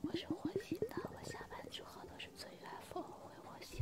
我是火星的，我下班之后都是坐 UFO 回火星。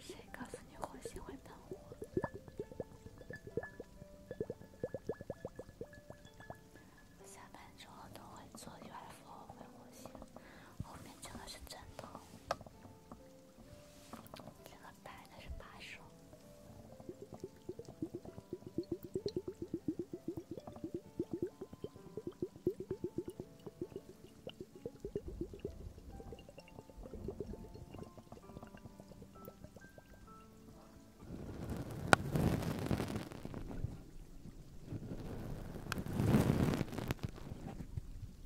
谁告诉你火星会喷火？我下班之后都会坐 UFO 回火星，后面真的是真的。这个白的是把手。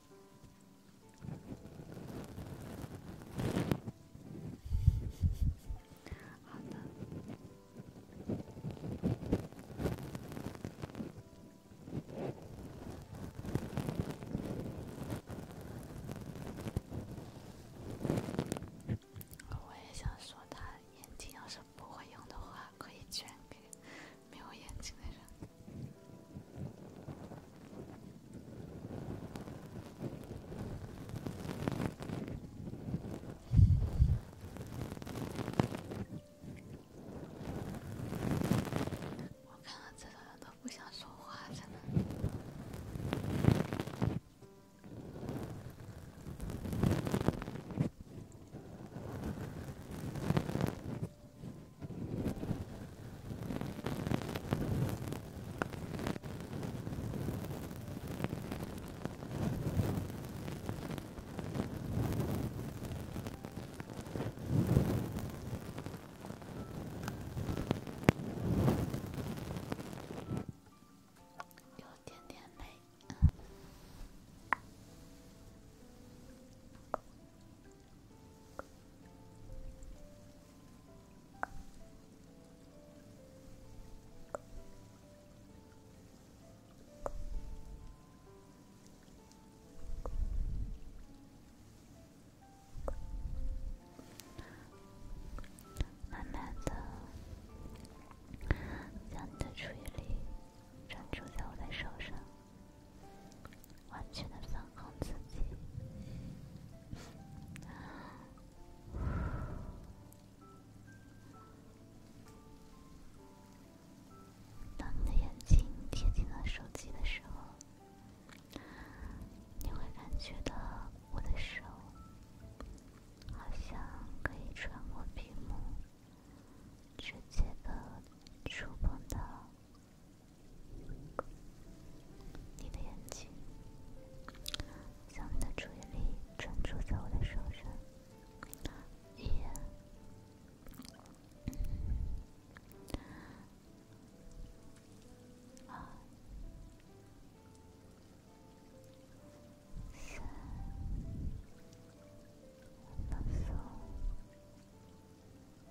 好的。我也想说，他眼睛要是不会用的话，可以捐给。没有眼睛的人，我看到这人都不想说话，真的。有点点累。慢慢的，将你的注意力专注在我的手上。完全的放空自己。当你的眼睛贴近到手机的时候，你会感觉到我的手好像可以穿过屏幕，直接的触碰到。你的眼睛，将你的注意力专注在我的手上，一、二、三、四。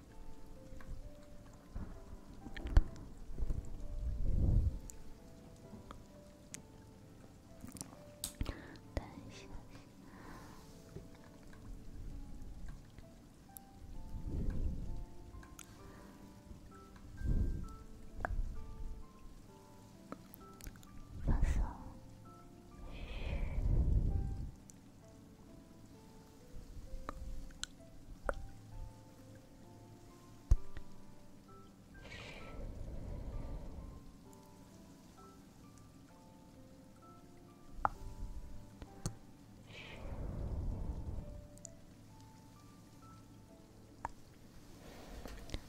等一下，放松，嘘。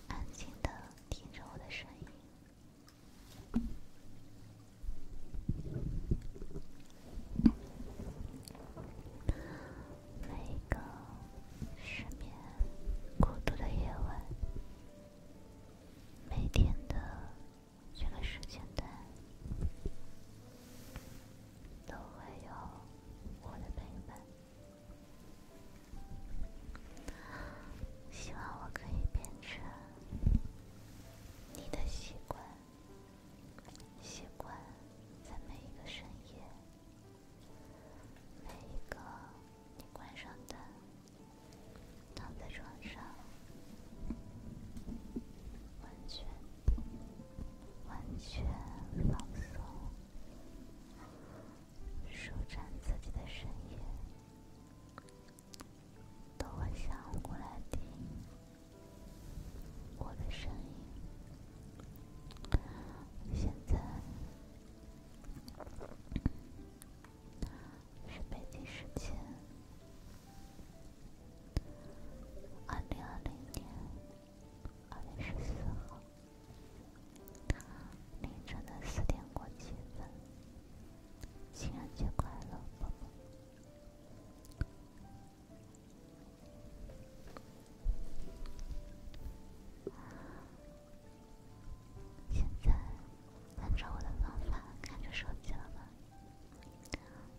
安静的听着我的声音。每一个失眠、孤独的夜晚，每天的这个时间段，都会有我的陪伴。希望我可以变成你的习惯。习惯在每一个深夜，每一个你关上灯，躺在床上，完全完全放松，舒展自己的身体。等我想过来听我的声音。现在是北京时间二零二零年二月十四号凌晨的四点过七分。情人节快乐，宝宝。现在按照我的方法看着手机了吗？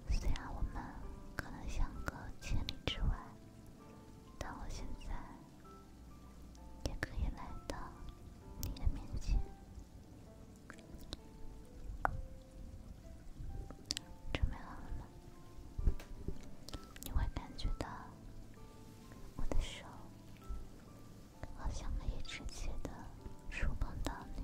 虽然我们可能相隔千里之外，但我现在也可以来到你的面前。准备好了吗？你会感觉到我的手好像可以直接的触碰到你。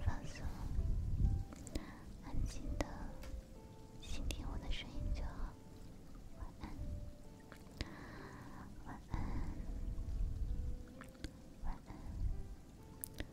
放松，安静的倾听我的声音就好。晚安，晚安，晚安。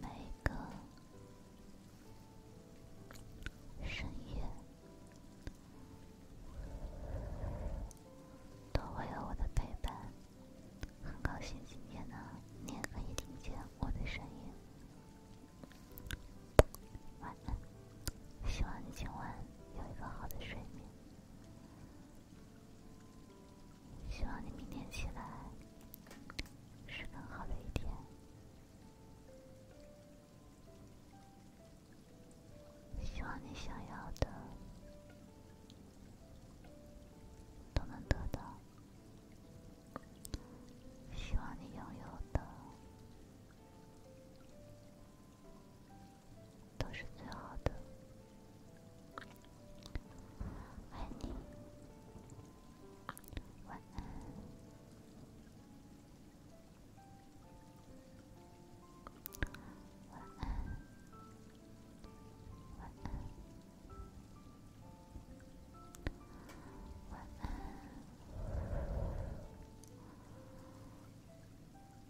每个深夜都会有我的陪伴，很高兴今天呢，你也可以听见我的声音。晚安，希望你今晚有一个好的睡眠。希望你明天起来是更好的一天。希望你想要的都能得到。希望你拥有的。都是最好的，爱你，晚安，晚安，晚安，晚安，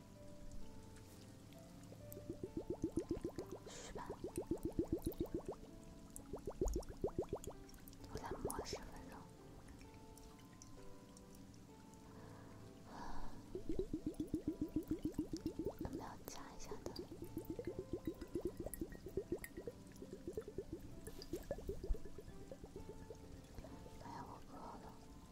我再磨十分钟，要不要加一下的？哎，呀，我饿了。